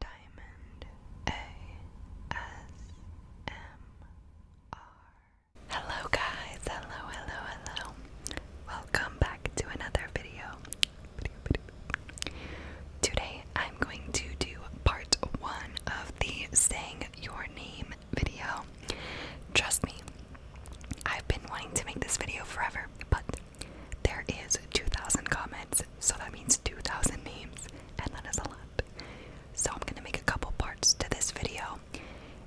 Diamond ASMR. Hello, guys. Hello, hello, hello. Welcome back to another video. Today, I'm going to do part one of the saying your name video. Trust me, I've been wanting to make this video forever, but there is 2,000 comments, so that means 2,000 memes, and that is a lot. So I'm gonna make a couple parts to this video,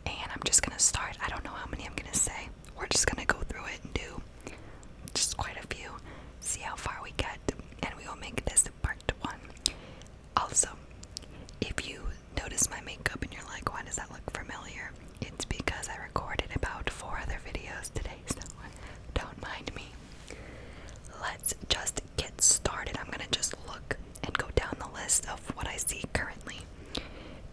and I'm just gonna start. I don't know how many I'm gonna say. We're just gonna go through it and do just quite a few, see how far we get, and we will make this part one. Also, if you notice my makeup and you're like, why does that look familiar? It's because I recorded about four other videos today don't mind me. Let's just get started. I'm gonna just look and go down the list of what I see currently.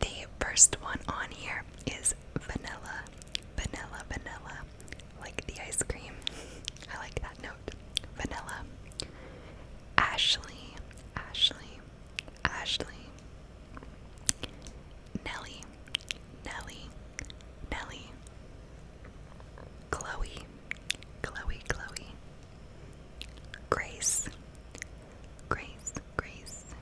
The first one on here is vanilla. Vanilla, vanilla. Like the ice cream. I like that note. Vanilla. Ashley. Ashley. Ashley. Nelly, Nelly, Nelly, Chloe, Chloe, Chloe, Grace, Grace, Grace,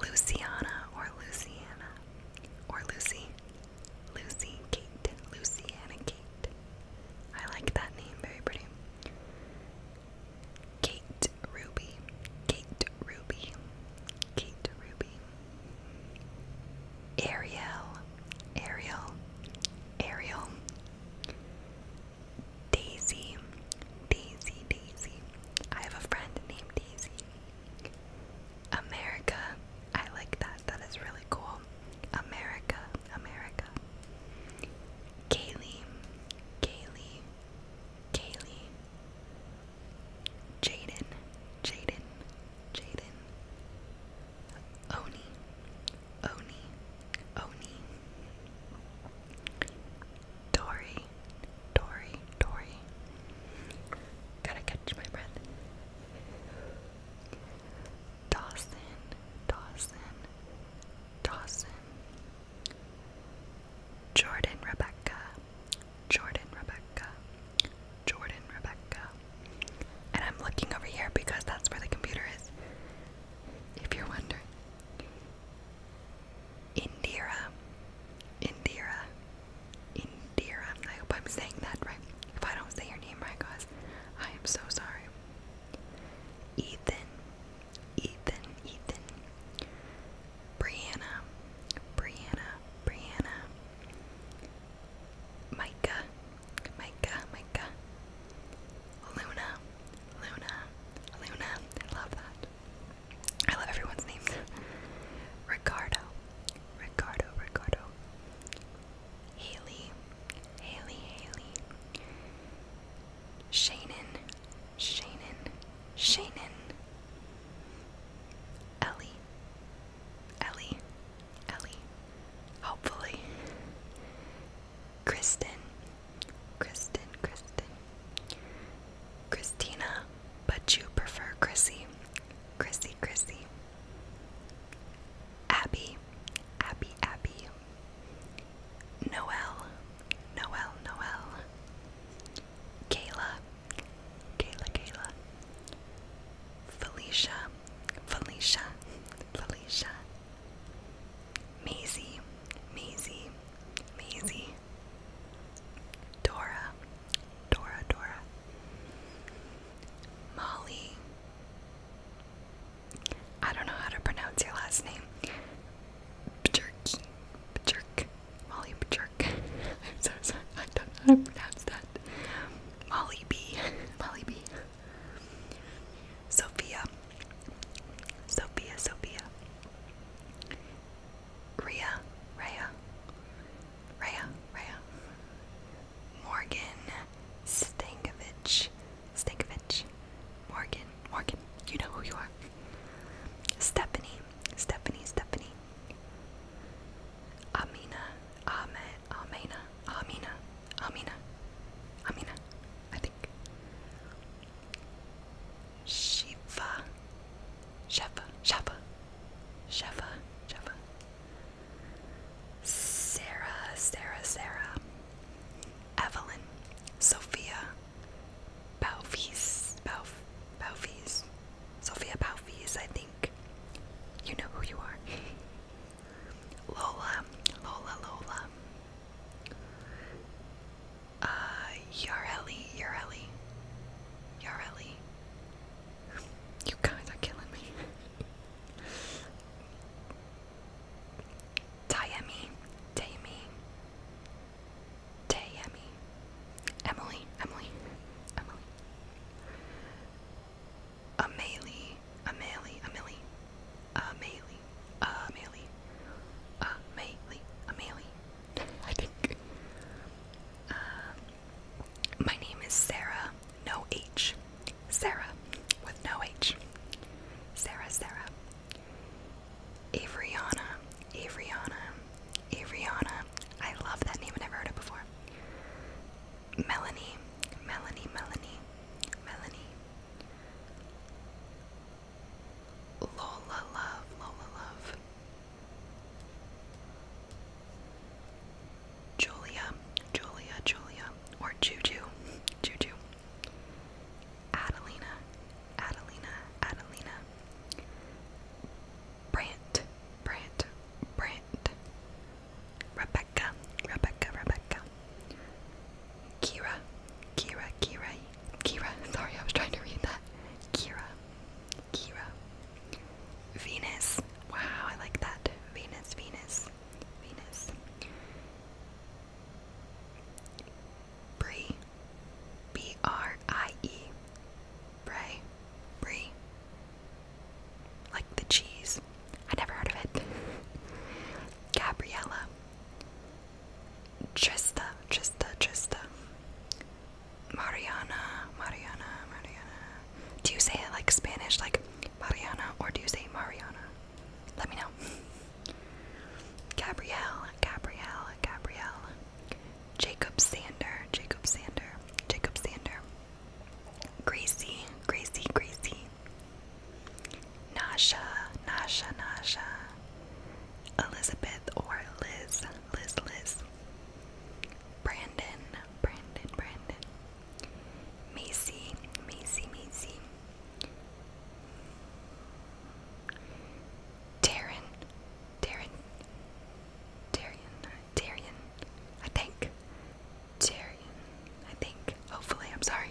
Luciana or Luciana or Lucy, Lucy, Kate, Luciana, Kate. I like that name, very pretty. Kate Ruby, Kate Ruby, Kate Ruby, Ariel, Ariel, Ariel, Daisy, Daisy, Daisy. I have a friend named Daisy. America, I like that. That is really cool. America, America. Kaylee, Kaylee, Kaylee, Jaden, Jaden, Jaden, Oni, Oni, Oni, Dory, Dory, Dory. Gotta catch my breath. Dawson, Dawson, Dawson, Jordan Rebecca, Jordan Rebecca, Jordan Rebecca. And I'm looking over here because that's where the computer is, if you're wondering. Indira, Indira, Indira. I hope I'm saying that right. If I don't say your name right, guys, I am so sorry. Ethan, Ethan, Ethan, Brianna, Brianna, Brianna, Micah, Micah, Micah, Luna, Luna, Luna, I love that. I love everyone's names. Ricardo, Ricardo, Ricardo, Haley, Haley, Haley, Shannon, Shannon, Shannon, Ellie, Ellie, Ellie, hopefully, Kristen, Kristen, Kristen, Christina, but you prefer Chrissy, Chrissy, Chrissy. Abby, Abby, Abby, Noel, Noel, Noel, Kayla, Kayla, Kayla, Felicia, Felicia, Felicia, Maisie, Maisie, Maisie, Dora, Dora, Dora, Molly, I don't know how to pronounce your last name. Bjerk. Bjerk. Molly Bjerk. I'm so sorry. I don't know how to pronounce that. Molly B. Molly B. Sophia. Sophia. Sophia. Rhea. Rhea. Rhea. Rhea. Morgan Stankovic. Stankovic. Morgan. Morgan. You know who you are. Stephanie. Stephanie. Stephanie. Amina. Ame. Amina. Amina. Amina. Amina. I think. Shiva. Sheva. Sheva. Sheva. Sheva. Sarah, Sarah, Sarah, Evelyn, Sophia, Balfis, Balf, Balfis, Sophia Balfis, I think. You know who you are. Lola, Lola, Lola. Uh, Yareli, Yareli, Yareli, you guys are killing me. Tayemi, Tayemi, Tayemi, Emily, Emily, Emily, Amelie, Amelie, Amelie, Amelie, Amelie, Amelie, Amelie. I think. Um, my name is Sarah, no H. Sarah, with no H. Sarah, Sarah. Avriana, Avriana, Avriana. I love that name, I never heard it before. Melanie, Melanie, Melanie, Melanie. Lola Love, Lola Love. Julia, Julia, Julia, or Juju, Juju, Adelina, Adelina, Adelina, Brant, Brant, Brant, Rebecca, Rebecca, Rebecca, Kira, Kira, Kira, Kira, sorry, I was trying to read that, Kira, Kira, Venus. Wow, I like that. Venus, Venus, Venus. Bree, B R I E. Bray, Bree. Like the cheese. I never heard of it. Gabriella. Trista, Trista, Trista. Mariana, Mariana, Mariana. Do you say it like Spanish, like Mariana, or do you say Mariana? Let me know. Gabrielle, Gabrielle, Gabrielle. Jacob Sander, Jacob Sander, Jacob Sander. Gracie, Gracie, Gracie. Nasha, Nasha, Nasha. Elizabeth or Liz, Liz, Liz. Brandon, Brandon, Brandon. Macy, Macy, Macy. Darren, Darren, Darian, Darian, I think. Darian, I think. Hopefully, I'm sorry.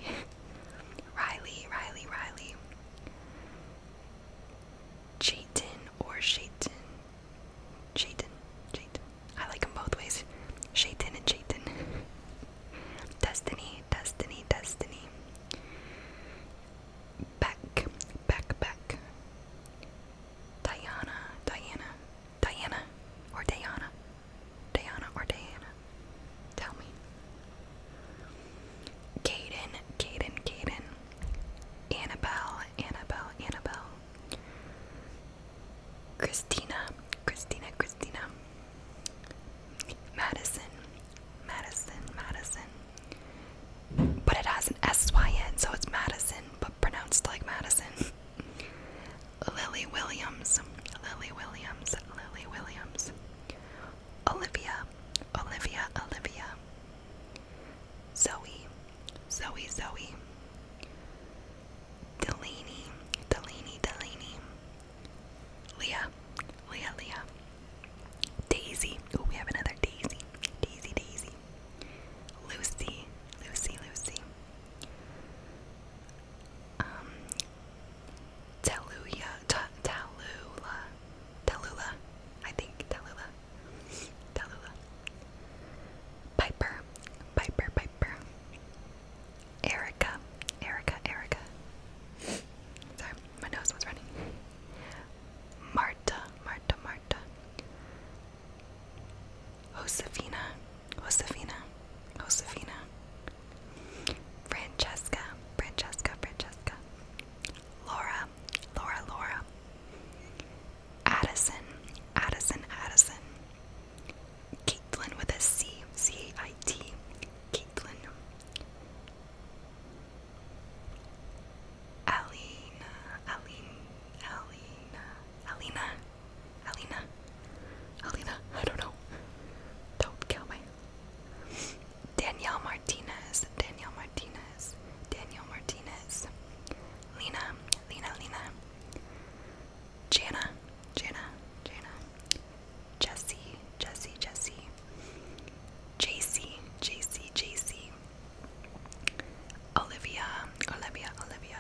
Riley, Riley, Riley. Chayton or Shayton, Shaitan. Shaitan. I like them both ways. Shaitan and Shaitan. destiny, destiny, destiny. Back, back, back. Diana, Diana, Diana, or Diana. Diana or Diana. Tell me. Caden, Caden, Caden. Annabelle, Annabelle, Annabelle. Christina, Christina, Christina. Madison, Madison, Madison. But it has an S Y N, so it's Madison, but pronounced like Madison. Lily Williams, Lily Williams, Lily Williams. Olivia, Olivia, Olivia. Zoe, Zoe, Zoe, Delaney, Delaney, Delaney, Leah, Leah, Leah, Daisy. Oh, we have another Daisy, Daisy, Daisy, Lucy, Lucy, Lucy, um, Tallulah, Tallulah, Tallulah, I think Tallulah. Tallulah. Piper, Piper, Piper. Erica, Erica, Erica. Sorry, my nose was running. Marta, Marta, Marta. Josefina, Josefina, Josefina. Francesca, Francesca, Francesca. Laura, Laura, Laura, Addison, Addison, Addison. Caitlin with a C, C I T. Caitlin. Alina, Aline, Alina, Alina, Alina, Alina. I don't know. Don't kill me. Danielle Martinez, Danielle Martinez, Danielle Martinez, Lena, Lena, Lena, Jana, Jana, Jana, Jesse, Jesse, Jesse, JC, JC, JC, Olivia, Olivia, Olivia,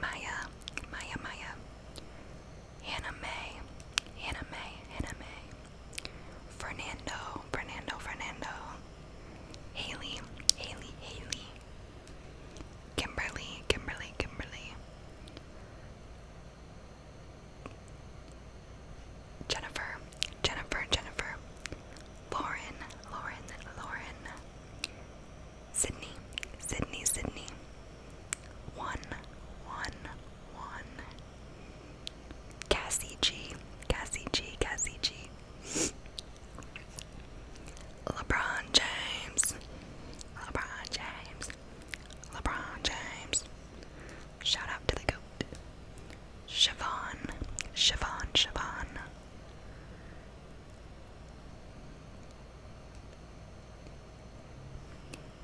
Maya, Maya, Maya, Hannah May, Hannah May, Hannah May. Fernando, Fernando, Fernando, Haley, Haley, Haley, Kimberly, Kimberly, Kimberly, Jennifer, Jennifer, Jennifer, Lauren, Lauren, Lauren, Sydney, Sydney, Sydney, one, one, one. Cassie G. Cassie G. Cassie G. LeBron James. LeBron James. LeBron James. Shout out to the goat. Siobhan. Siobhan. Siobhan.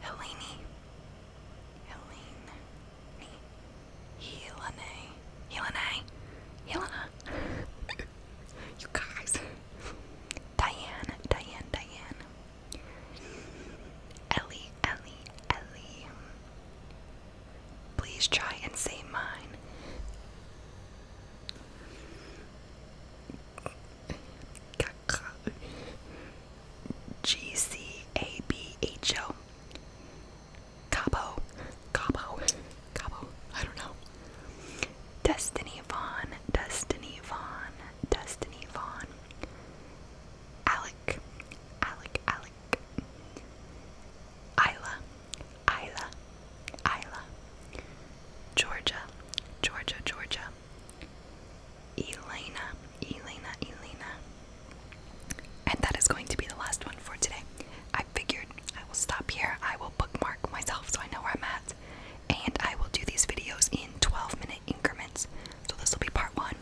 Helene. Helene. Me. Helene. Helene. Helena. you guys. Diane. Diane. Diane. Ellie. Ellie. Ellie. Please try and say mine. G C A B H O Cabo Cabo Cabo I don't know Destiny Vaughn Destiny Vaughn Destiny Vaughn Alec Alec Alec Isla Isla Isla Georgia Georgia Georgia Elena, Elena, Elena. And that is going to be the last one for today. I figured I will stop here. I will bookmark myself so I know where I'm at. And I will do these videos in 12 minute increments. So this will be part one.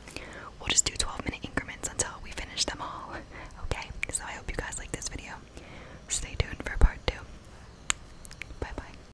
We'll just do 12 minute increments until we finish them all. Okay? So I hope you guys like this video. Stay tuned for part two. Bye bye.